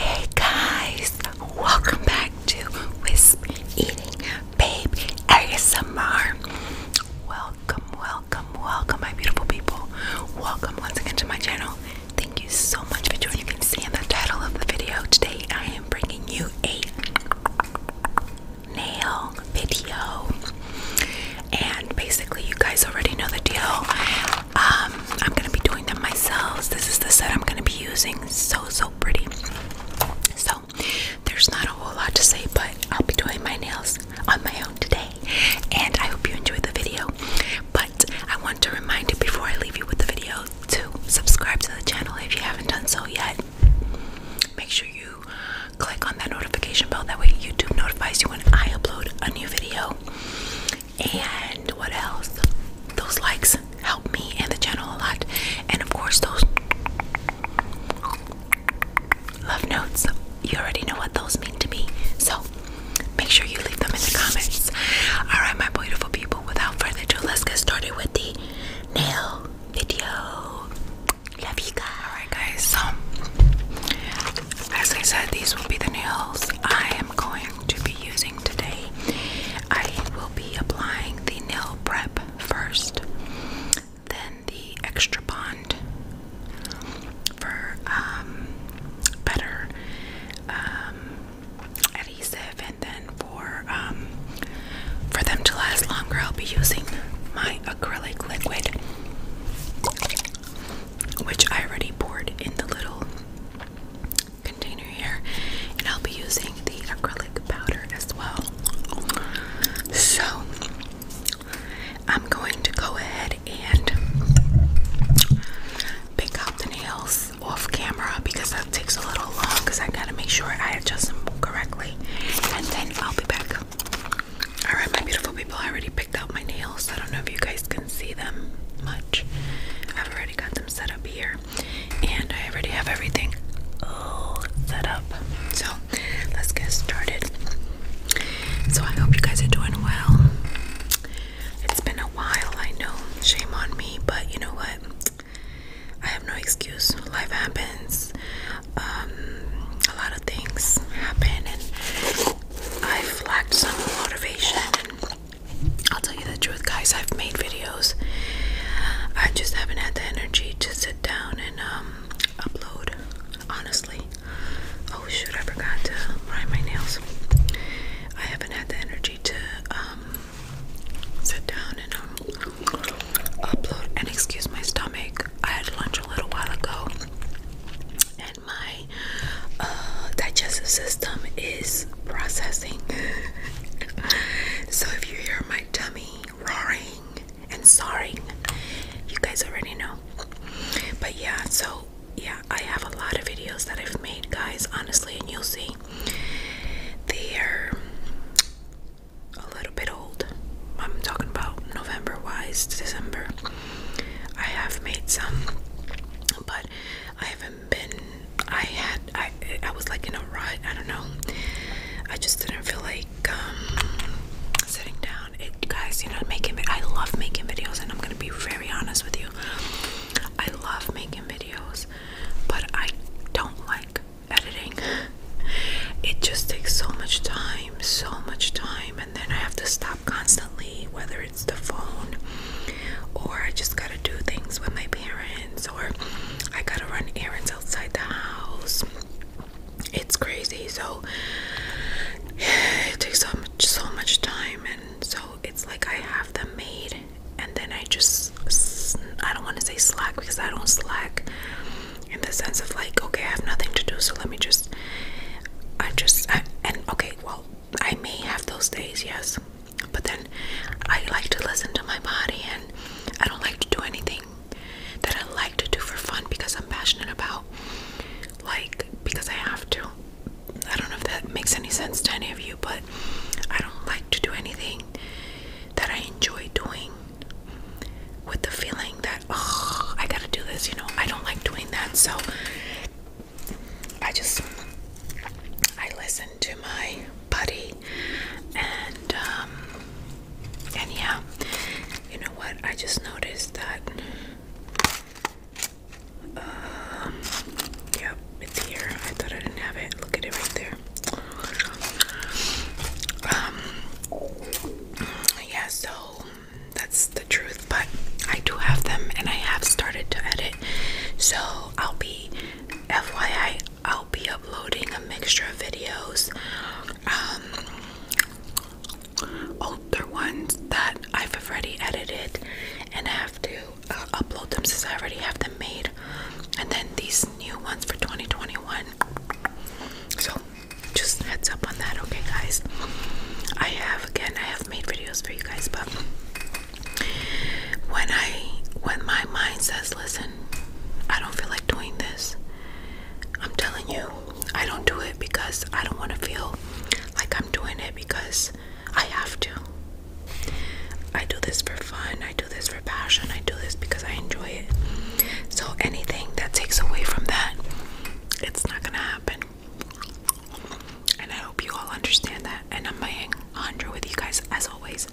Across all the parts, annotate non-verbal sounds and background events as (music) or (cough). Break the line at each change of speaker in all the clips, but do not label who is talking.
Hey guys, welcome back to Wisp Eating Babe ASMR. Welcome, welcome, welcome, my beautiful people. Welcome once again to my channel. Thank you so much for joining. You can see in the title of the video today, I am bringing you a nail video. And basically, you guys already know the deal. Um, I'm gonna be doing them myself. This is the set I'm gonna be using. So so pretty. So there's not a whole lot to say, but I'll be doing my nails on my own today. And I hope you enjoyed the video. But I want to remind you before I leave you with the video to subscribe to the channel if you haven't done so yet. Make sure you click on that notification bell. That way, YouTube notifies you when I upload a new video. And what else? Those likes help me and the channel a lot. And of course, those love notes. You already know what those mean to me. So make sure you leave them in the comments. Alright, my beautiful people, without further ado, let's get started with the nail video. Love you guys. Alright, guys, so as I said, these will be the nails I am going to be using today. I will be applying the nail prep first, then the extra bond for um, better um, adhesive, and then um, for them to last longer, I'll be using my acrylic liquid, which I already poured in the little container here, and I'll be using the acrylic powder as well. So I'm going to go ahead and pick out the nails off camera because that takes a little long because I gotta make sure I adjust them correctly and then I'll be back. Alright, my beautiful people, I already picked out my nails. I don't know if you guys can see them much. I've already got them set up here and I already have everything all set up. So let's get started. So I hope you guys are doing well. It's been a while, I know. Shame on me, but you know what? I have no excuse. Life happens. Um, a lot of things happen, and I've lacked some motivation. I'll tell you the truth, guys. I've made videos. I just haven't had the energy to sit down and um, upload. Honestly. Oh shoot! I forgot to prime my nails. I haven't had the energy to um, sit down and upload and excuse my stomach. I had lunch a little while ago, and my uh, digestive system is processing. (laughs) so if you hear my tummy roaring and soaring, you guys already know. But yeah, so yeah, I have a lot of videos that I've made, guys, honestly, and you'll see. They're a little bit old. I'm talking about November wise, to December. I have made some, but I haven't been. I had. I. I was like in a rut. I don't know. I just didn't feel like um, sitting down. It, guys, you know, making. I love making videos, and I'm gonna be very honest with you. I love making videos, but I don't like editing. It just takes so much time, so much time, and then I have to stop constantly, whether it's the phone or I just gotta do things with my parents or I gotta run errands outside the house. It's crazy, so it takes so much, so much time, and so it's like I have them made, and then I just I don't want to say slack because I don't slack in the sense of like, okay, I have nothing to do, so let me just, I just, I, and okay, well, I may have those days, yes, but then I like to listen to my body, and I don't like to do anything that I like to do for fun because I'm passionate about, like, because I have to. I don't know if that makes any sense to any of you, but I don't like to do anything that I enjoy doing with the feeling that oh I gotta do this, you know, I don't like doing that, so I just I listen to my buddy and um and yeah you know what I just noticed that um yeah it's here. I thought I didn't have it. Look at it right there. Um yeah, so that's the truth. But I do have them, and I have started to edit. So I'll be, FYI, I'll be uploading a mixture of videos, um, older ones that I've already edited, and I have to uh, upload them since I already have them made, and then these new ones for 2021. So just heads up on that okay guys i have again i have made videos for you guys but when i when my mind says listen i don't feel like doing this i'm telling you i don't do it because i don't want to feel like i'm doing it because i have to i do this for fun i do this for passion i do this because because I enjoy it. So anything that takes away from that, it's not gonna happen. And I hope you all understand that. And I'm being 100 with you guys as always.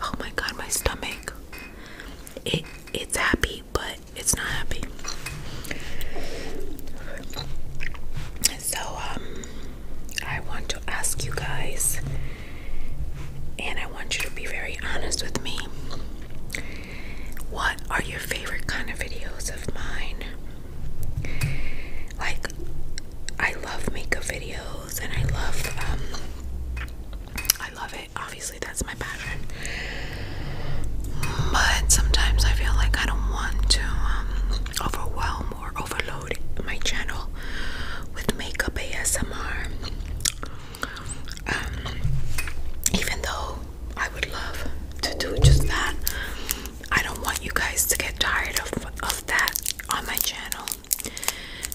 Oh my god, my stomach. It it's happy, but it's not happy. So um I want to ask you guys and I want you to be very honest with me. What are your favorite kind of videos of mine? Like, I love makeup videos and I love, um, I love it. Obviously, that's my passion. But sometimes I feel like I don't want to um, overwhelm or overload my channel with makeup ASMR. Um, even though I would love to do just that, I don't want you guys to get tired of, of that on my channel.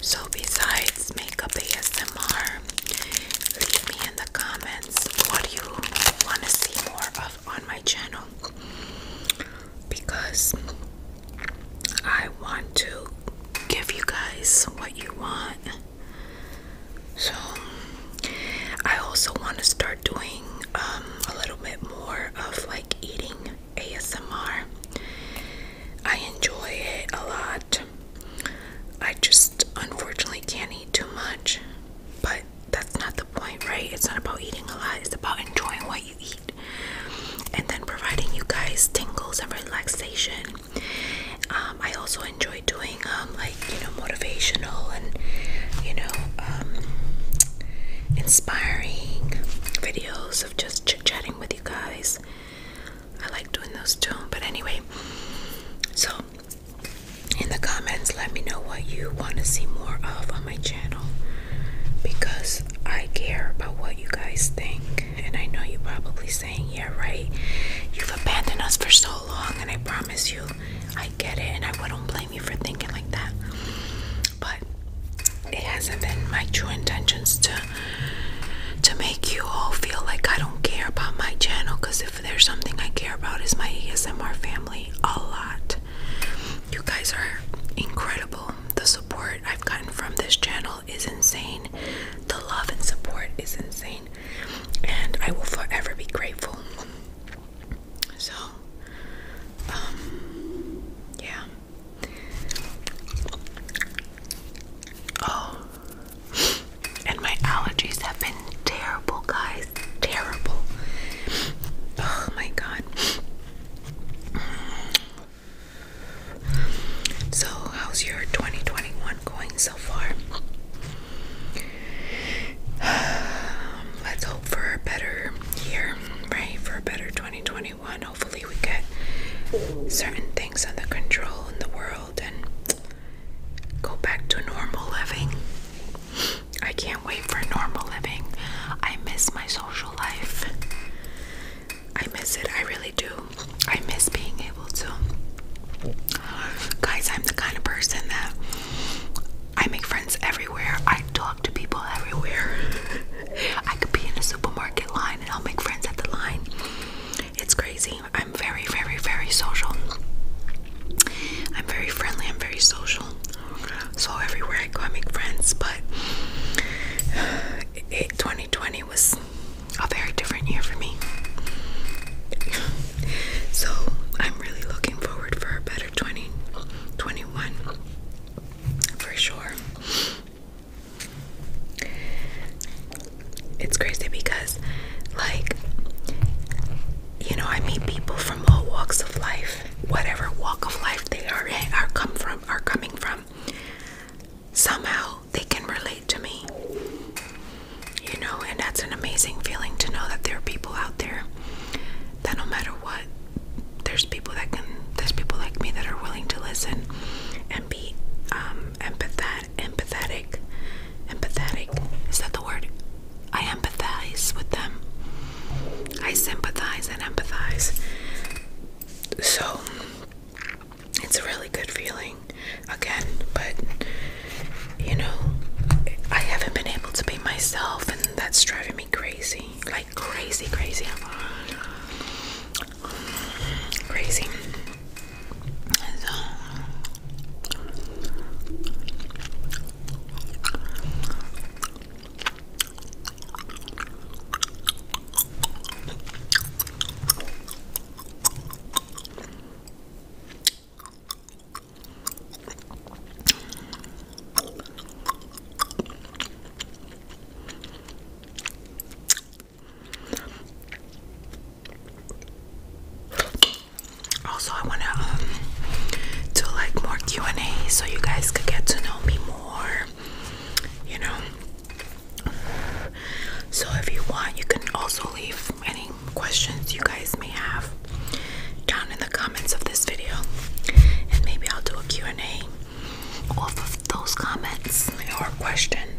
So, besides makeup ASMR, leave me in the comments what you want to see more of on my channel because I want to give you guys what you want. So, I also want to start doing um, a little bit more of like eating ASMR. I enjoy it a lot. I just unfortunately can't eat too much, but that's not the point, right? It's not about eating a lot, it's about enjoying what you eat and then providing you guys tingles and relaxation. Um, I also enjoy doing um, like you know motivational and you know um, inspiring videos of just chit chatting with you guys. I like doing those too. But anyway, so in the comments, let me know what you want to see more of on my channel because I care about what you guys think and I know you're probably saying, Yeah, right, you've abandoned us for so long, and I promise you, I get it, and I wouldn't blame you for thinking like that. But it hasn't been my true intentions to to make you all feel like I don't care about my channel because if there's something I care about is my ASMR family a lot. You guys are incredible. The support I've gotten from this channel is insane. The love and support is insane. And I will forever be grateful. So, um, yeah. Oh, and my allergies have been terrible, guys. Terrible. Oh my god. So, how's your 2021 going so far? (sighs) let's hope for a better year, right? For a better 2021. Hopefully, we get certain things under control in the world and go back to normal living. I can't wait for normal living. I miss my social life. I miss it. I really do. I miss being able to. Guys, I'm the kind of person that I make friends everywhere. I talk to people everywhere. (laughs) I could be in a supermarket line and I'll make friends at the line. It's crazy. I'm very, very, very social. I'm very friendly. I'm very social. So everywhere I go, I make friends. But (sighs) 2020 it was a very different year for me. so I'm really looking forward for a better 2021 for sure. It's crazy because, like, you know, I meet people from all walks of life, whatever walk of life they are in, are come from, are coming from. Somehow, they can relate to me. You know, and that's an amazing feeling to know that there are people out there that no matter what, there's people that can, there's people like me that are willing to listen and be um, empathetic. Empathetic. Empathetic. Is that the word? I empathize with them. I sympathize and empathize. So, it's a really good feeling again, but you know, I haven't been able to be myself, and that's driving me crazy like crazy, crazy, crazy. Also, I want to um, do like more Q and A so you guys could get to know me more. You know, so, if you want, you can also leave any questions you guys may have down in the comments of this video, and maybe I'll do a Q&A off of those comments or questions.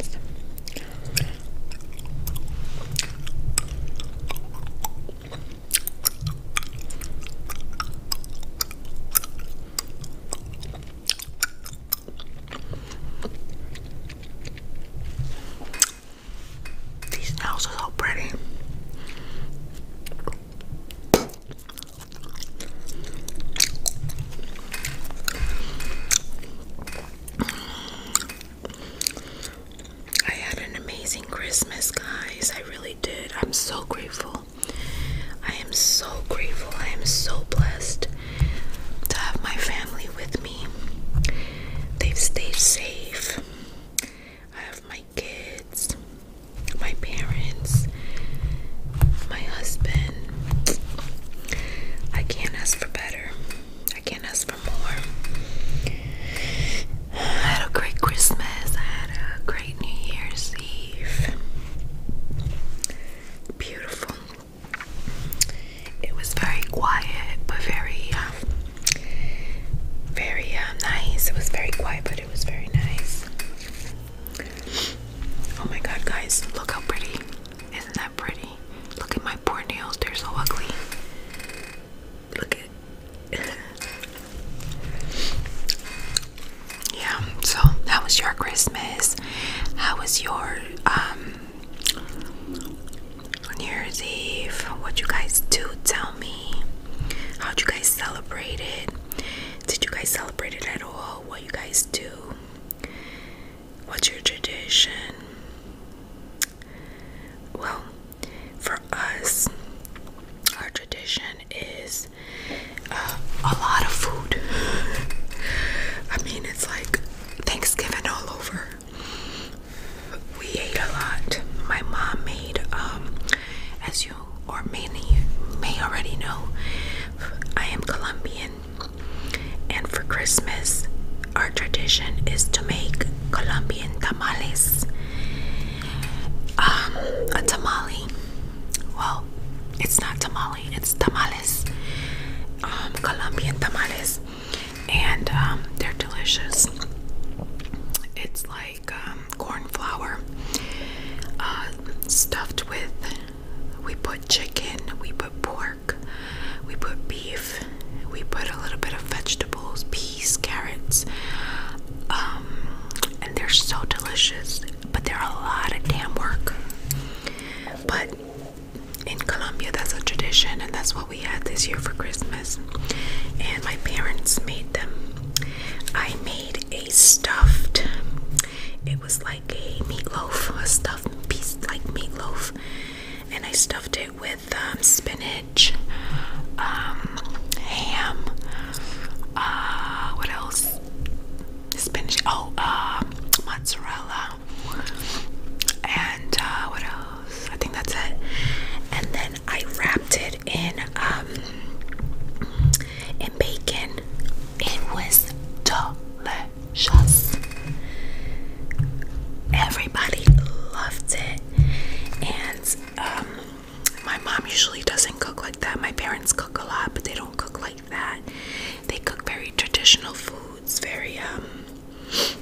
These nails are so pretty. I had an amazing Christmas, guys. I really did. I'm so grateful. I am so grateful. I am so blessed to have my family with me. They've stayed safe. I have my kids, my parents, my husband. I can't ask for better. I can't ask for more. I had a great Christmas. I had a great New Year's Eve. Beautiful. It was very quiet, but very, um, very um, nice. It was very quiet, but it was very nice. Oh my god, guys, look how pretty! Isn't that pretty? Look at my poor nails, they're so ugly. Look at (laughs) Yeah, so that was your Christmas? How was your um New Year's Eve, what you guys do, tell me. How'd you guys celebrate it? Did you guys celebrate it at all? What you guys do? What's your tradition? Well, for us, our tradition is uh, a lot of food. (laughs) I mean, it's like Thanksgiving all over we ate a lot. My mom made, um, as you or many may already know, I am Colombian, and for Christmas, our tradition is to make Colombian tamales. Um, a tamale. Well, it's not tamale, it's tamales. Um, Colombian tamales and um, they're delicious. It's like um, corn flour uh, stuffed with. We put chicken, we put pork, we put beef, we put a little bit of vegetables, peas, carrots, um, and they're so delicious. But they're a lot of damn work. But in Colombia, that's a tradition, and that's what we had this year for Christmas. And my parents made them. I made a stuffed, it was like a meatloaf, a stuffed piece like meatloaf, and I stuffed it with um, spinach, um, ham, uh, what else? Spinach, oh, uh, mozzarella, and uh, what else? I think that's it. And then I wrapped it in um in bacon. It was delicious. Everybody loved it. And um my mom usually doesn't cook like that. My parents cook a lot, but they don't cook like that. They cook very traditional food. It's very, um,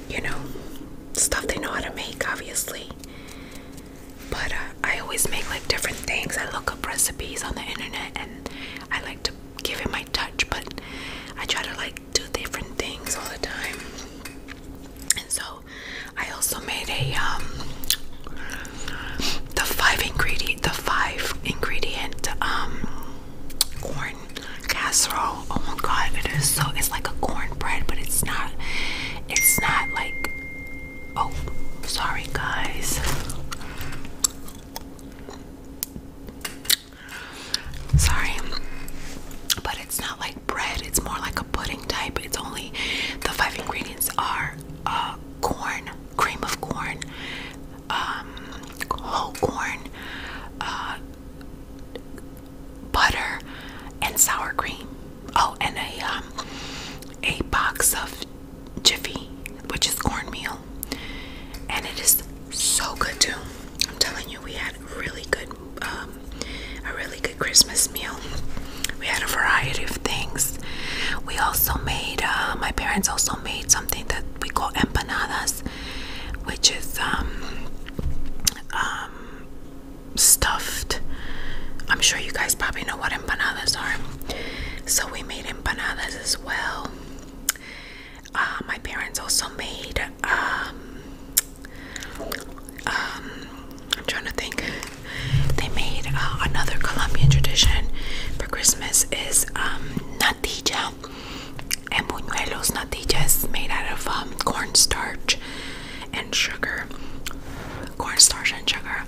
you know, stuff they know how to make, obviously. But uh, I always make like different things. I look up recipes on the internet and I like to give it my touch, but I try to like do different things all the time. And so I also made a, um, the five ingredient, the five ingredient, um, corn casserole. Oh my god, it is so it's like a cornbread, but it's not it's not like oh sorry guys. Sorry. But it's not like bread, it's more like a pudding type. It's only the five ingredients are uh, corn, cream of corn, um, whole corn, uh, butter, and sour cream. Oh, and a um, a box of Jiffy, which is cornmeal, and it is so good too. I'm telling you, we had really good, um, a really good Christmas meal. We had a variety of things. We also made. Uh, my parents also made something that we call empanadas, which is um, um, stuffed. I'm sure you guys probably know what empanadas are. So we made empanadas as well. Uh, my parents also made. Um, um, I'm trying to think. They made uh, another Colombian tradition for Christmas is um, natilla and buñuelos natillas made out of um, cornstarch and sugar. Cornstarch and sugar,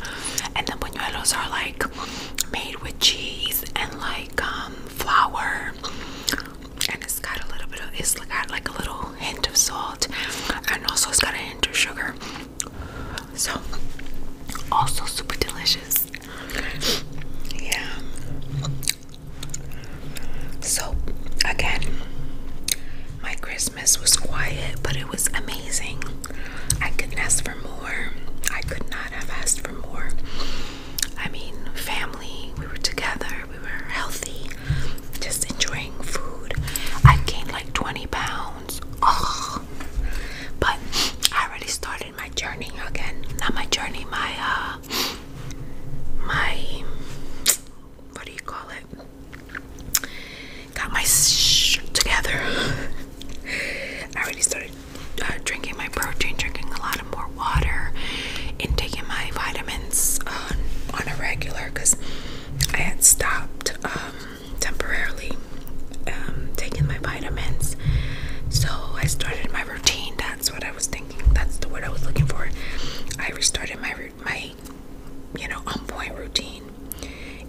and the buñuelos are like made with cheese and like um, flour, and it's got a little bit of it's got like a little hint of salt, and also it's got a hint of sugar. So, also super delicious. Yeah, so, again, my Christmas was quiet, but it was amazing. I couldn't ask for more. I could not have asked for more. I mean, family, we were together, we were healthy, just enjoying food. I gained like 20 pounds. Oh, but I already started my journey again. Not my journey, my, uh, my what do you call it? Got my sh together. (laughs) I already started uh, drinking my protein, drinking a lot of more water, and taking my vitamins on, uh, on a regular because I had stopped um, temporarily um, taking my vitamins. So I started my routine. That's what I was that's the word I was looking for. I restarted my my you know on point routine,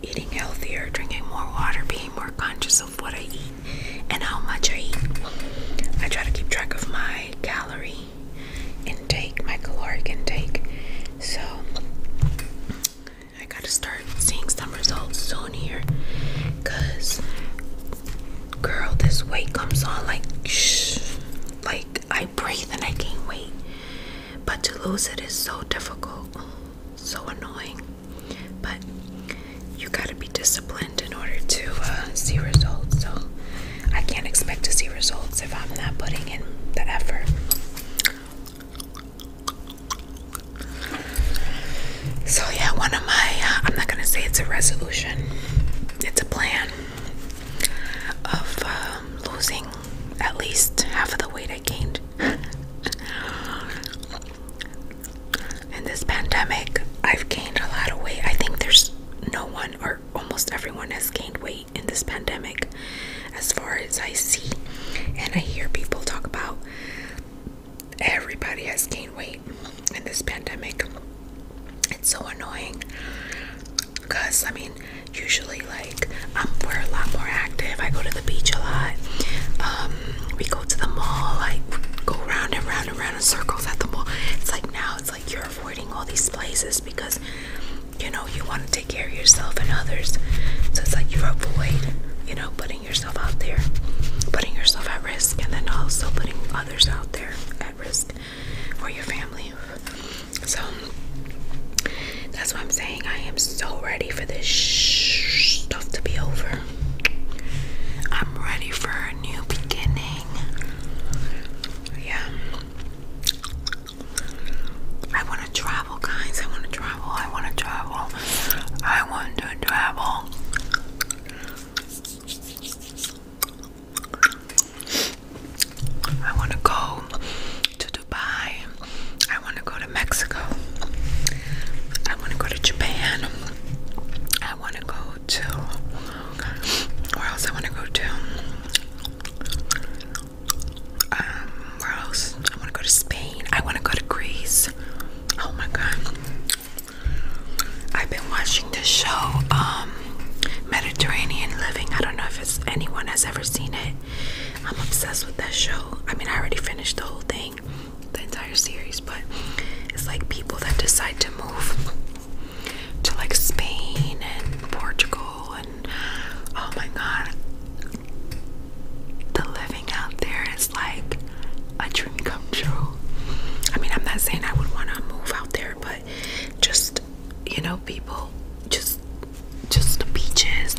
eating healthier, drinking more water, being more conscious of what I eat and how much I eat. I try to keep track of my calorie intake, my calorie intake. So I gotta start seeing some results soon here, cause girl, this weight comes on like shh, like I breathe and I can't wait, But to lose it is so difficult, so annoying. But you gotta be disciplined in order to uh, see results. So I can't expect to see results if I'm not putting in the effort. So yeah, one of my uh, I'm not gonna say it's a resolution. It's a plan of um, losing at least half of the weight I gained. In this pandemic, I've gained a lot of weight. I think there's no one, or almost everyone, has gained weight in this pandemic, as far as I see. And I hear people talk about everybody has gained weight in this pandemic. It's so annoying because I mean, usually, like, um, we're a lot more active. I go to the beach a lot, um, we go to the mall, like, go round and round and round in circles at the mall. It's like now, it's like you're avoiding all these places because you know you want to take care of yourself and others, so it's like you avoid, you know, putting yourself out there, putting yourself at risk, and then also putting others out there at risk for your family. So that's what I'm saying. I am so ready for this sh stuff to be over. I'm ready for a new beginning. Yeah. I want to travel, guys. I want to travel. I want to travel. I want to travel. I want to go to Dubai. I want to go to Mexico. I want to go to Japan. I want to go to. Where else I want to go to? Um, where else? I want to go to Spain. I want to go to Greece. Oh my god. I've been watching this show. Um, Mediterranean Living. I don't know if anyone has ever seen it. I'm obsessed with that show. I mean, I already finished the whole thing, the entire series, but it's like people that decide to move to like Spain and Portugal and oh my god. The living out there is like a dream come true. I mean, I'm not saying I would want to move out there, but just you know, people just just the beaches,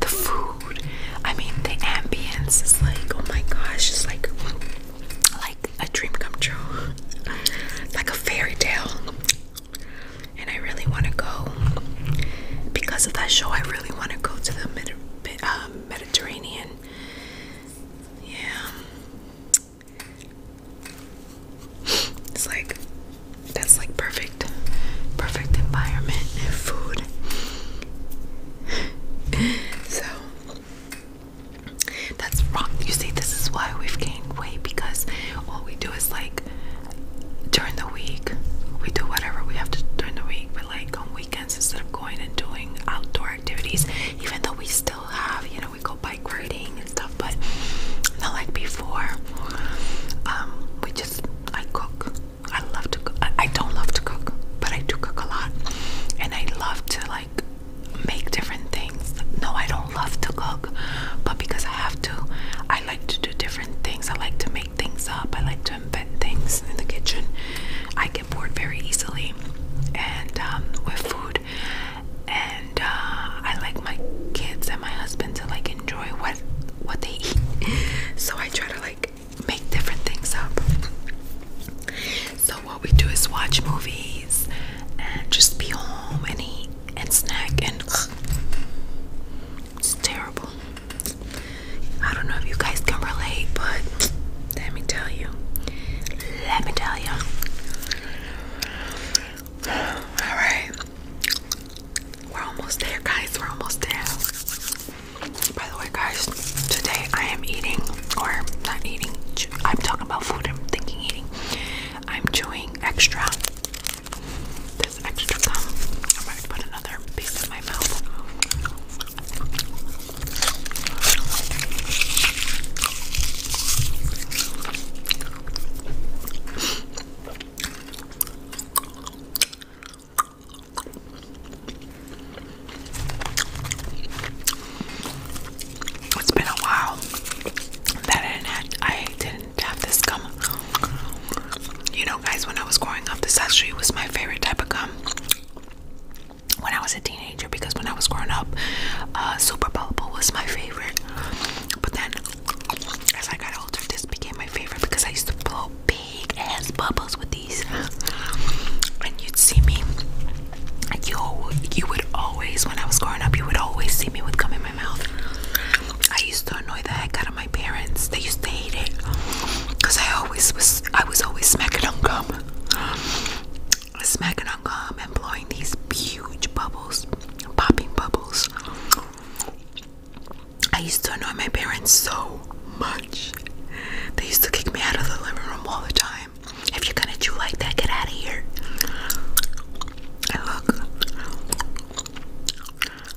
the food. I mean, the ambience is like, oh my gosh, it's like like a dream come true. (laughs) Like a fairy tale. And I really want to go because of that show. I really want to go to the um, Mediterranean. Yeah. It's like that's like perfect perfect environment and food. (laughs) so that's wrong. You see, this is why we've gained weight because all we do is like during the week we do whatever we have to during the week, but like on weekends instead of going and doing outdoor activities, even though we still have, you know, we go bike riding and stuff, but not like before. Um, we just I cook. I love to. I, don't love to cook, but I do cook a lot, and I love to like make different things. No, I don't love to cook, but because I have to, I like to do different things. I like to make things up. I like to invent things in the kitchen. I get bored very easily, and um, with food and uh, I like my kids and my husband to like enjoy what what they eat (laughs) so I try to like make different things up so what we do is watch movies and just be home and eat and snack and it's terrible I don't know if you guys can relate but let me tell you let me tell you all right. We're almost there, guys. We're almost there. By the way, guys, today I am eating, or not eating, I'm talking about food, I'm thinking eating. I'm chewing extra. This extra gum. I'm going to put another piece in my mouth. It's been a while that I didn't have, this gum. You know, guys, when I was growing up, this actually was my favorite type of gum when I was a teenager because when I was growing up, uh, Super Bubble was my favorite. But then as I got older, this became my favorite because I used to blow big ass bubbles with these, and you'd see me. You you would always, when I was growing up, you would always see me with gum in my mouth. I used to annoy the heck out of my parents. They used to hate it because I always was. I was always smacking on gum, smacking on gum, and blowing these huge bubbles, popping bubbles. I used to annoy my parents so much. They used to kick me out of the living room all the time. If you're gonna chew like that, get out of here. look,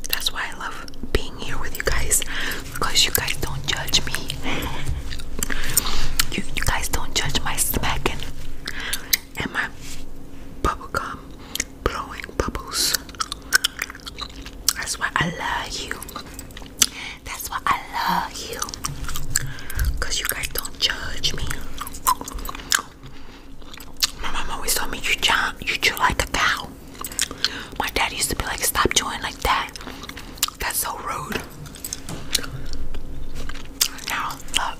that's why I love being here with you guys because you guys don't judge me. (laughs) You, guys don't judge my smacking and my bubblegum blowing bubbles. That's why I love you. That's why I love you. Cause you guys don't judge me. My mom always told me you chew, you chew like a cow. My dad used to be like, stop chewing like that. That's so rude. Now, look,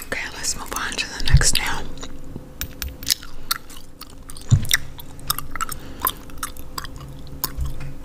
Okay, let's move on to the next nail.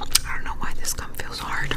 I don't know why this gum feels hard.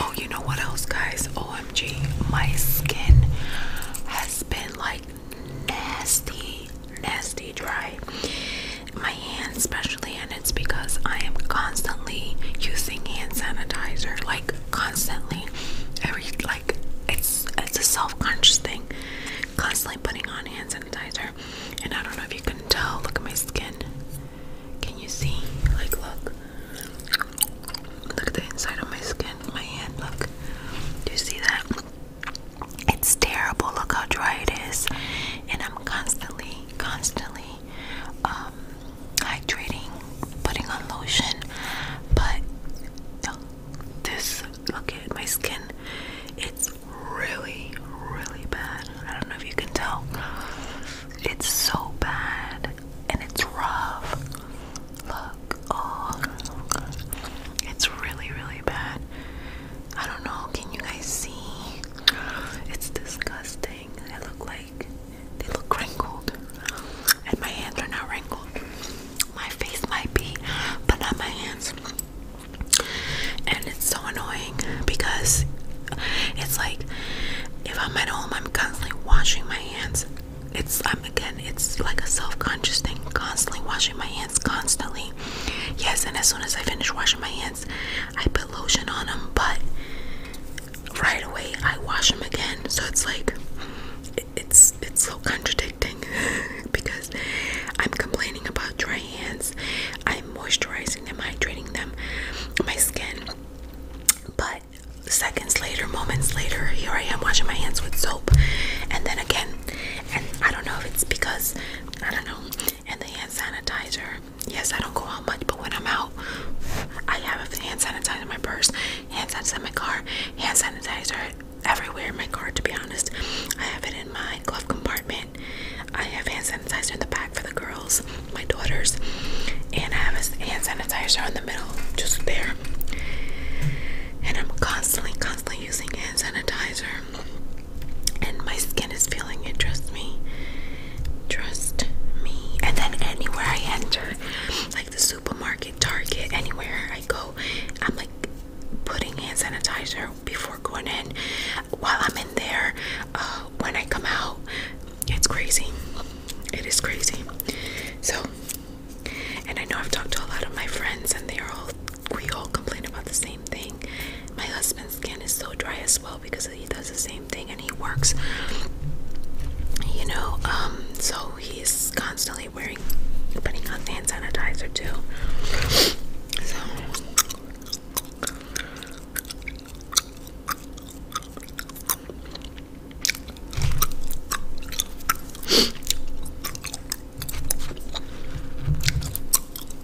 Oh, you know what else, guys? OMG, my skin has been like nasty nasty dry my hands especially and it's because I am constantly using hand sanitizer like constantly every like it's it's a self-conscious thing constantly putting on hand sanitizer and I don't know if you can tell look at my skin can you see like look look at the inside of my skin my hand look do you see that it's terrible. Look how dry it is. And I'm constantly, constantly um, hydrating, putting on lotion. But this, look at my skin. It's really, really bad. I don't know if you can tell. It's so bad. And it's rough. Look. Oh. It's really, really bad. I don't know, can you guys see? It's disgusting. They look like they look wrinkled. And my hands are not wrinkled. My face might be, but not my hands. And it's so annoying because it's like if I'm at home, I'm constantly washing my hands. It's I'm again, it's like a self-conscious thing, constantly washing my hands, constantly. Yes, and as soon as I finish washing my hands, I put lotion on them, but right away I wash them again. So it's like it's it's so contradicting (laughs) because I'm complaining about dry hands. I'm moisturizing them, hydrating them, my skin. But seconds later, moments later, here I am washing my hands with soap and then again. And I don't know if it's because I don't know and the hand sanitizer. Yes, I don't go out much, but when I'm out, I have a hand sanitizer in my purse, hand sanitizer in my car, hand sanitizer everywhere in my car. To be honest, I have it in my glove compartment. I have hand sanitizer in the back for the girls, my daughters, and I have a hand sanitizer in the middle, just there. And I'm constantly, constantly using hand sanitizer and my skin is feeling it. Trust me, trust me. And then anywhere I enter, like the supermarket, Target, anywhere I go, I'm like putting hand sanitizer before going in. While I'm in there, uh, when I come out, it's crazy. It is crazy. So, and I know I've talked to a lot of my friends, and they are all we all complain about the same thing. My husband's skin is so dry as well because he does the same thing and he works. You know, um, so he's constantly wearing, putting on hand sanitizer too.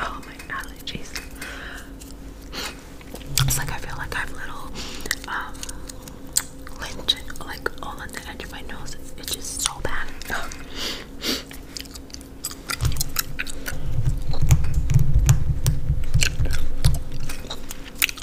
Oh my allergies. It's like I feel like I have little um, lynch like all on the edge of my nose. It's just so bad.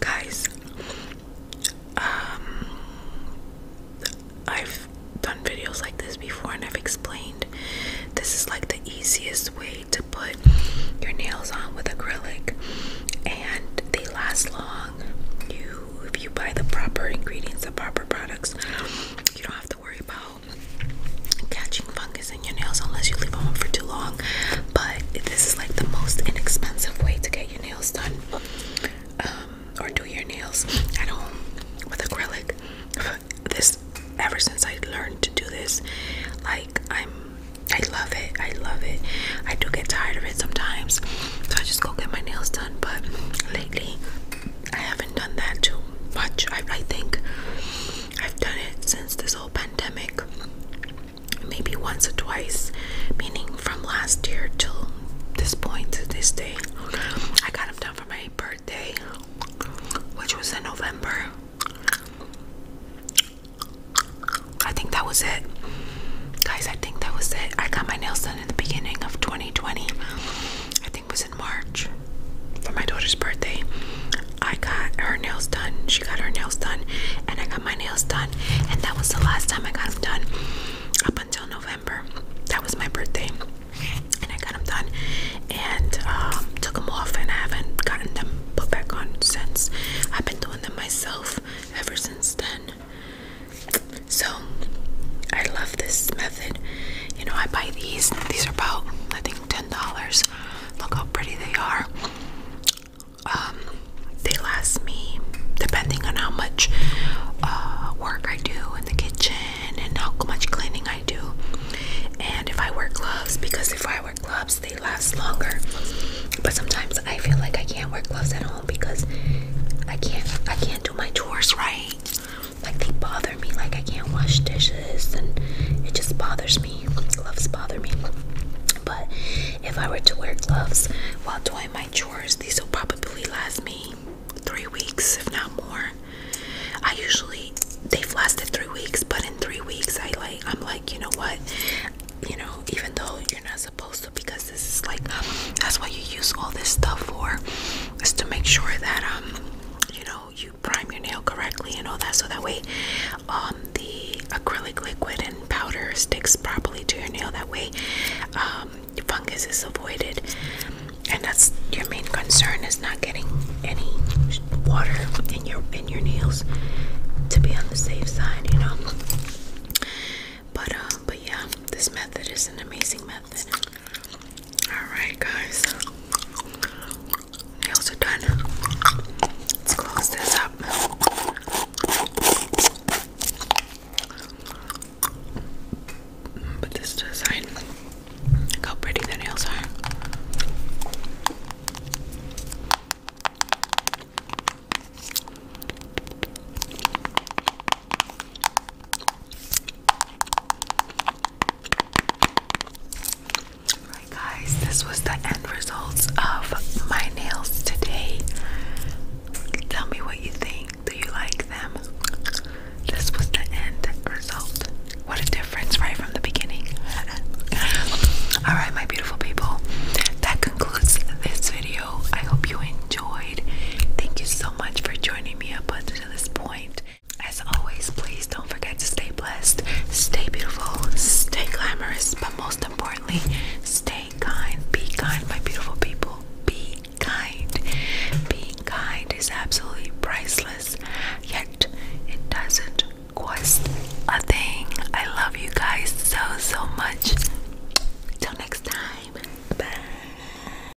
guys um, I've done videos like this before and I've explained this is like the easiest way to put your nails on with acrylic and they last long you if you buy the proper ingredients the proper products you don't have to worry about catching fungus in your nails unless you leave them on for too long but this is like the most inexpensive way to get your nails done um, or do your nails at home with acrylic. (laughs) This, ever since I learned to do this, like I'm, I love it. I love it. I do get tired of it sometimes, so I just go get my nails done. But lately, I haven't done that too much. I, I think I've done it since this whole pandemic maybe once or twice, meaning from last year till this point to this day. I got them done for my birthday, which was in November. I think that was it. Guys, I think that was it. I got my nails done in the beginning of 2020. I think it was in March for my daughter's birthday. I got her nails done. She got her nails done. And I got my nails done. And that was the last time I got them done up until November. That was my birthday, and I got them done and um, took them off, and I haven't gotten them put back on since. I've been doing them myself ever since then. So I love this method. You know, I buy these. These are about I think ten dollars. Look how pretty they are. Um, they last me depending on how much uh, work I do in the kitchen and how much cleaning I do. And if I wear gloves, because if I wear gloves, they last longer. But sometimes I feel like I can't wear gloves at home because I can't I can't do my chores right. Like they bother me. Like I can't wash dishes, and it just bothers me. Gloves bother me. But if I were to wear gloves while doing chores. These will probably last me three weeks, if not more. I usually they've lasted three weeks, but in three weeks, I like I'm like, you know what? You know, even though you're not supposed to, because this is like that's what you use all this stuff for, is to make sure that um, you know, you prime your nail correctly and all that, so that way, um, the acrylic liquid and powder sticks properly to your nail. That way, um, um, fungus is avoided, and that's your main concern is not getting any water in your in your nails to be on the safe side, you know. But uh, but yeah, this method is an amazing method. All right, guys, nails are done. Let's close this up. Put this to the how pretty the nails are. Alright guys, this was the end results of my nails today. Tell me what you think. Do you like them? This was the end result. What a difference right from the beginning. (laughs) Alright, my beautiful people. That concludes this video. I hope you enjoyed. Thank you so much for joining me up until this point. As always, please don't forget to stay blessed, stay beautiful, stay glamorous, but most importantly, stay Stay kind. Be kind, my beautiful people. Be kind. Being kind is absolutely priceless, yet it doesn't cost a thing. I love you guys so, so much. Till next time. Bye.